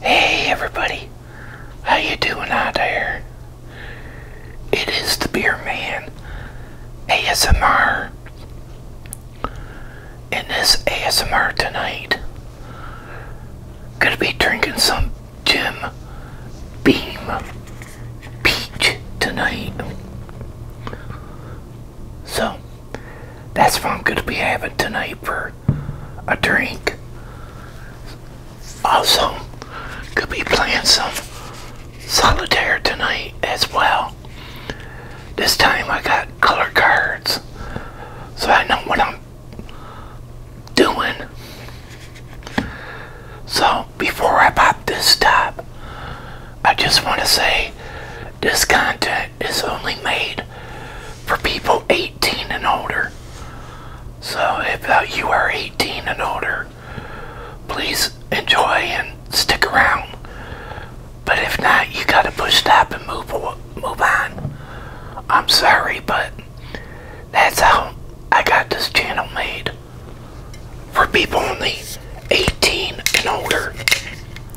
Hey everybody, how you doing out there? It is the Beer Man ASMR. In this ASMR tonight, gonna be drinking some Jim Beam Peach tonight. So. That's what I'm going to be having tonight for a drink. Also, could be playing some solitaire tonight as well. This time I got color cards, so I know what I'm doing. So, before I pop this top, I just want to say this content is only made for people 18 and older. So if uh, you are 18 and older, please enjoy and stick around. But if not, you gotta push stop and move move on. I'm sorry, but that's how I got this channel made for people only 18 and older.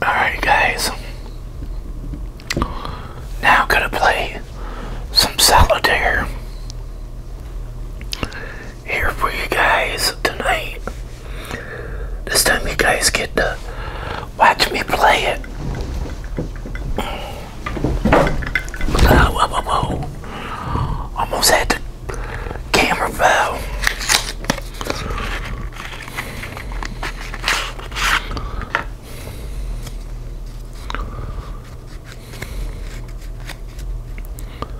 Alright, guys. Now, I'm gonna play some salad solitaire here for you guys tonight. This time you guys get to watch me play it. Whoa, whoa, whoa, Almost had the camera fell.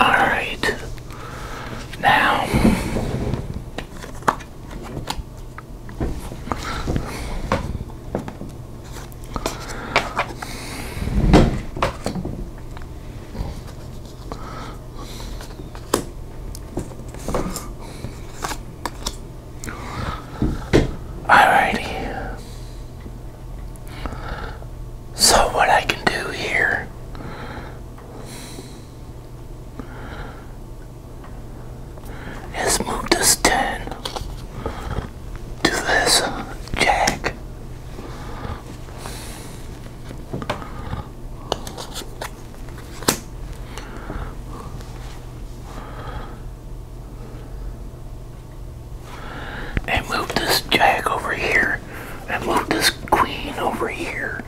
All right. Now Alrighty. So, what I can do here is move this 10 to this jack. And move this jack over here. And move this queen over here.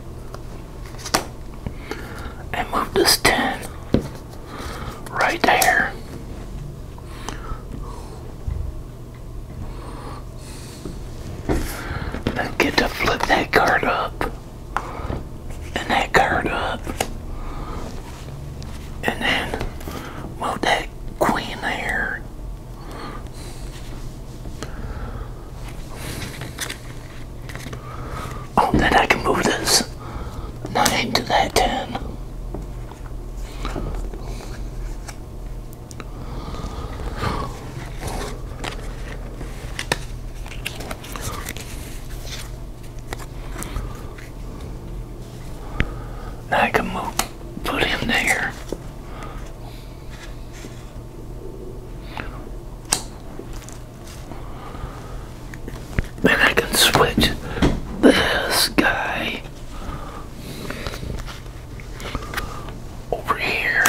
And move this 10 right there. Then get to flip that card up and that card up. And then move that queen there. Oh, then I can move this 9 to that 10. I can move, put him there. Then I can switch this guy over here.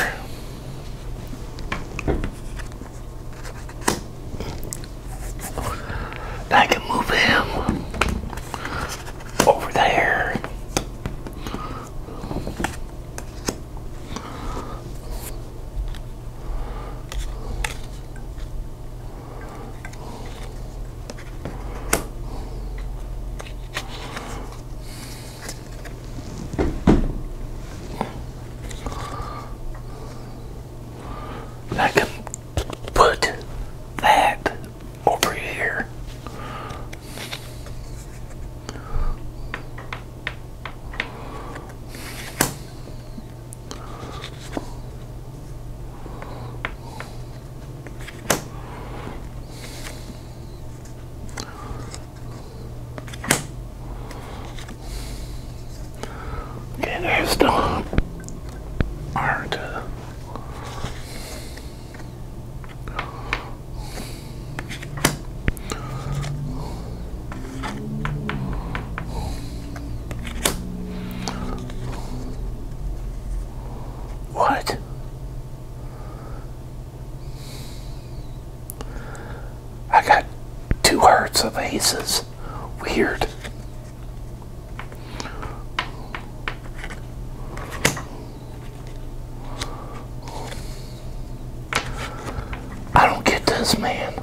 I can move him over there. I can put that over here. Okay, there's the art. What? I got two hearts of aces weird. I don't get this, man.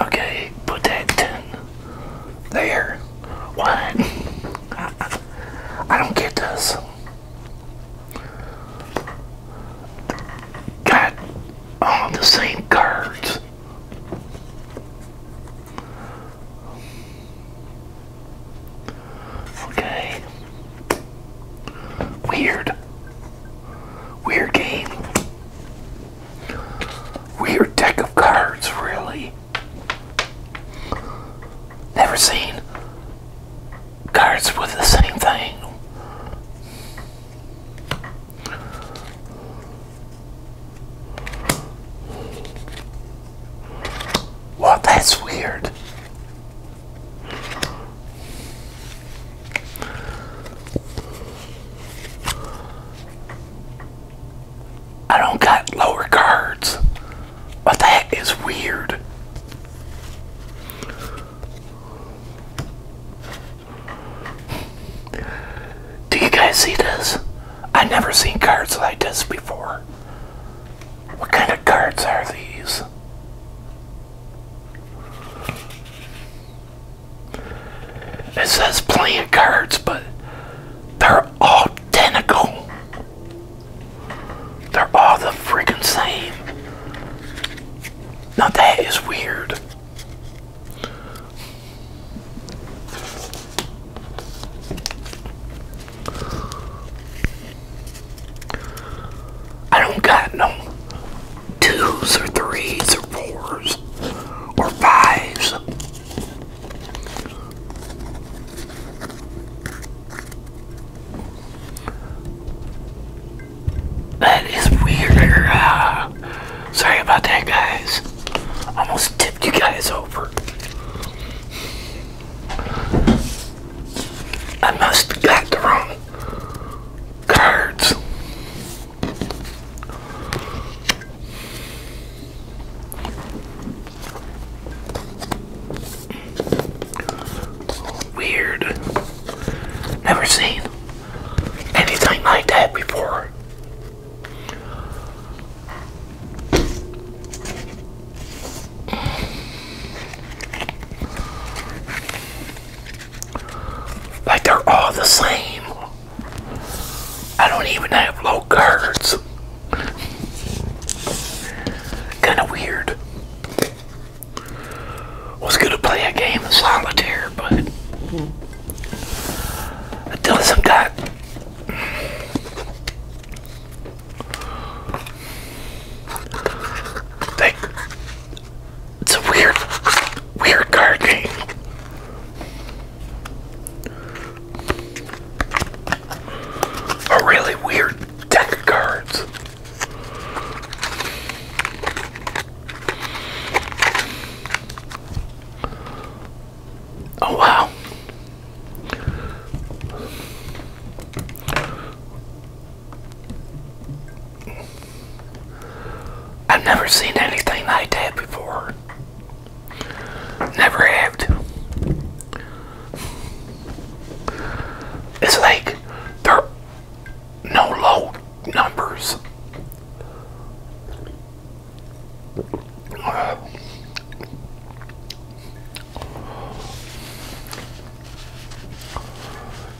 Okay, put that 10 there. What? I don't get this got all the same cards. Okay. Weird. Weird game. Weird deck of cards, really. Never seen cards with the same thing. Well, that's weird. I don't got lower cards, but that is weird. Do you guys see this? i never seen cards like this before. What kind of cards are these? It says playing cards, but they're all identical. They're all the freaking same. Now that is weird. I don't got no twos or threes or fours or fives. That is weird. Uh, sorry about that, guys. Almost tipped you guys over. I must have got the wrong cards. Weird. Never seen anything like that before. Like they're all the same. I don't even have low cards. kind of weird was going to play a game of solitaire, but it doesn't got. it's a weird, weird card game. A really weird deck of cards. Oh, wow. I've never seen anything like that before. Never have It's like they're no low numbers.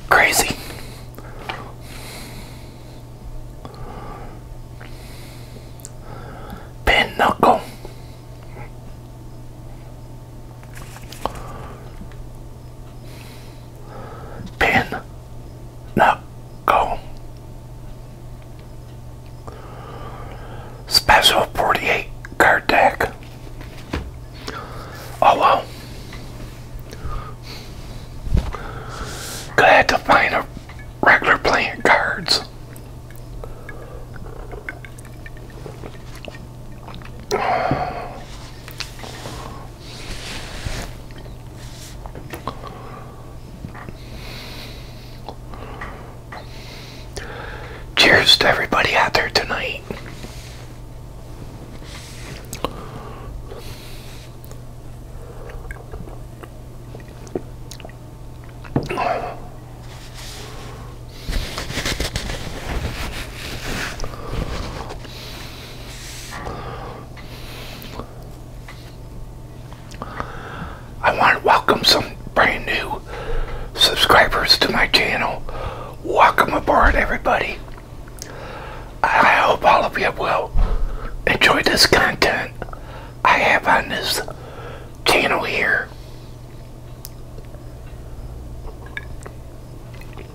crazy. Pinnacle. Pin Knuckle Special 48 card deck. Oh well. Glad to find a regular playing cards. Cheers to everybody out there tonight. I want to welcome some brand new subscribers to my channel. Welcome aboard, everybody. I hope all of you will enjoy this content I have on this channel here.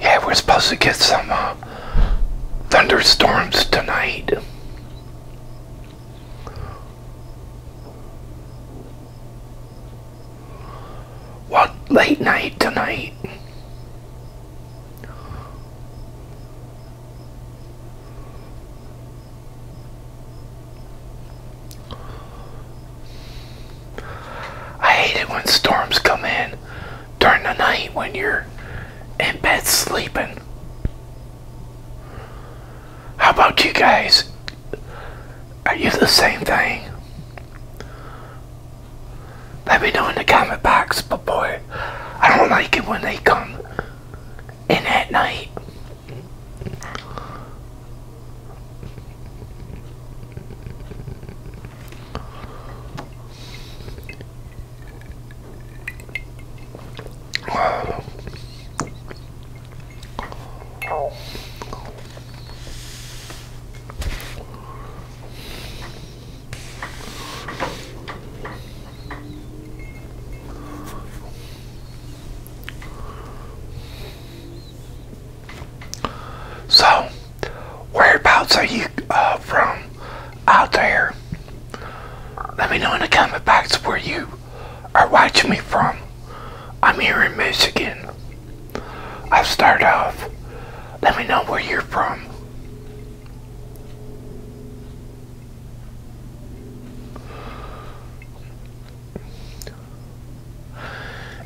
Yeah, we're supposed to get some uh, thunderstorms tonight. What late night tonight? I hate it when storms come in during the night when you're in bed sleeping. How about you guys? Are you the same thing? Let me know in the comment box, but boy, I don't like it when they come and at night so, whereabouts are you uh, from out there? Let me know in the comment box where you are watching me from. I'm here in Michigan. I'll start off. Let me know where you're from.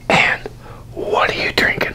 And what are you drinking?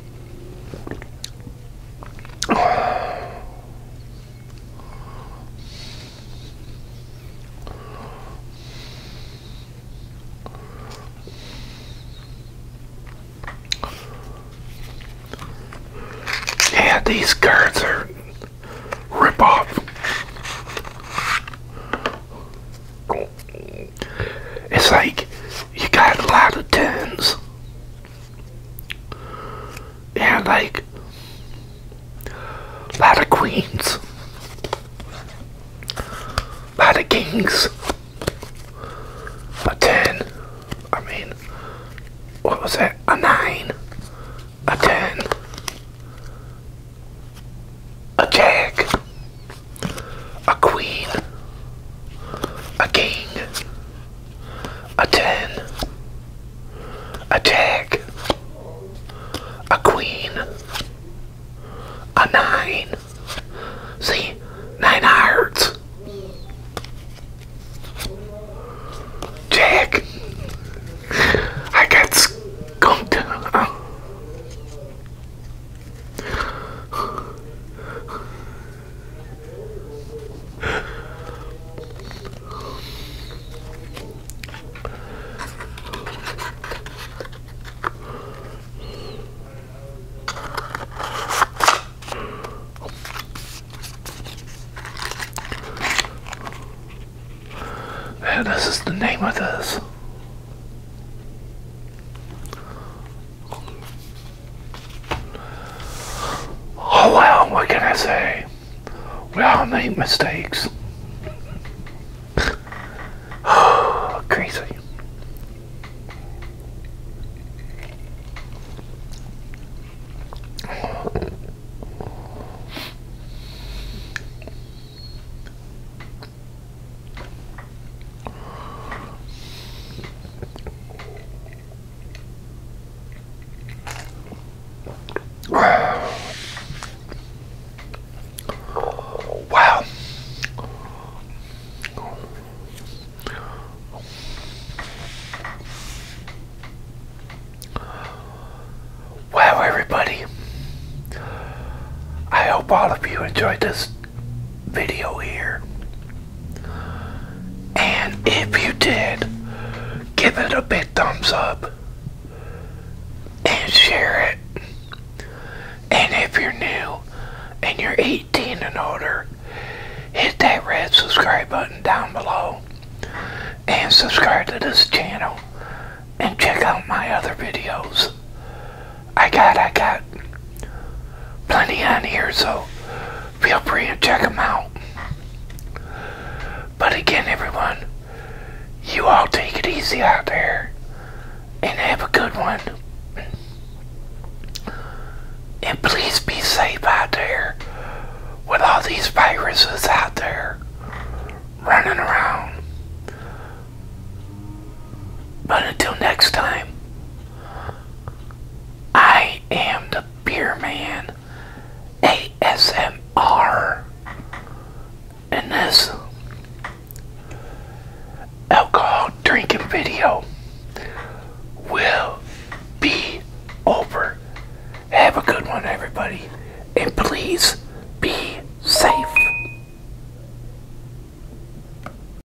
Yeah, these cards are rip off. It's like you got a lot of tens. And like a lot of queens, a lot of kings, a ten. I mean, what was that? A nine, a ten, a jack, a queen, a king, a ten, a jack, a queen, a nine. See, nine hearts. Jack, I got skunked. Yeah, this is the name of this. Oh well, what can I say? We all make mistakes. Crazy. Wow. Wow, everybody. I hope all of you enjoyed this video here. And if you did, give it a big thumbs up and share it. And if you're new and you're 18 and older, hit that red subscribe button down below and subscribe to this channel and check out my other videos. I got, I got plenty on here, so feel free to check them out. But again, everyone, you all take it easy out there and have a good one. And please be safe out there with all these viruses out there running around. But until next time, I am the Beer Man ASMR. And this alcohol drinking video will be over. Have a good one, everybody. And please be safe.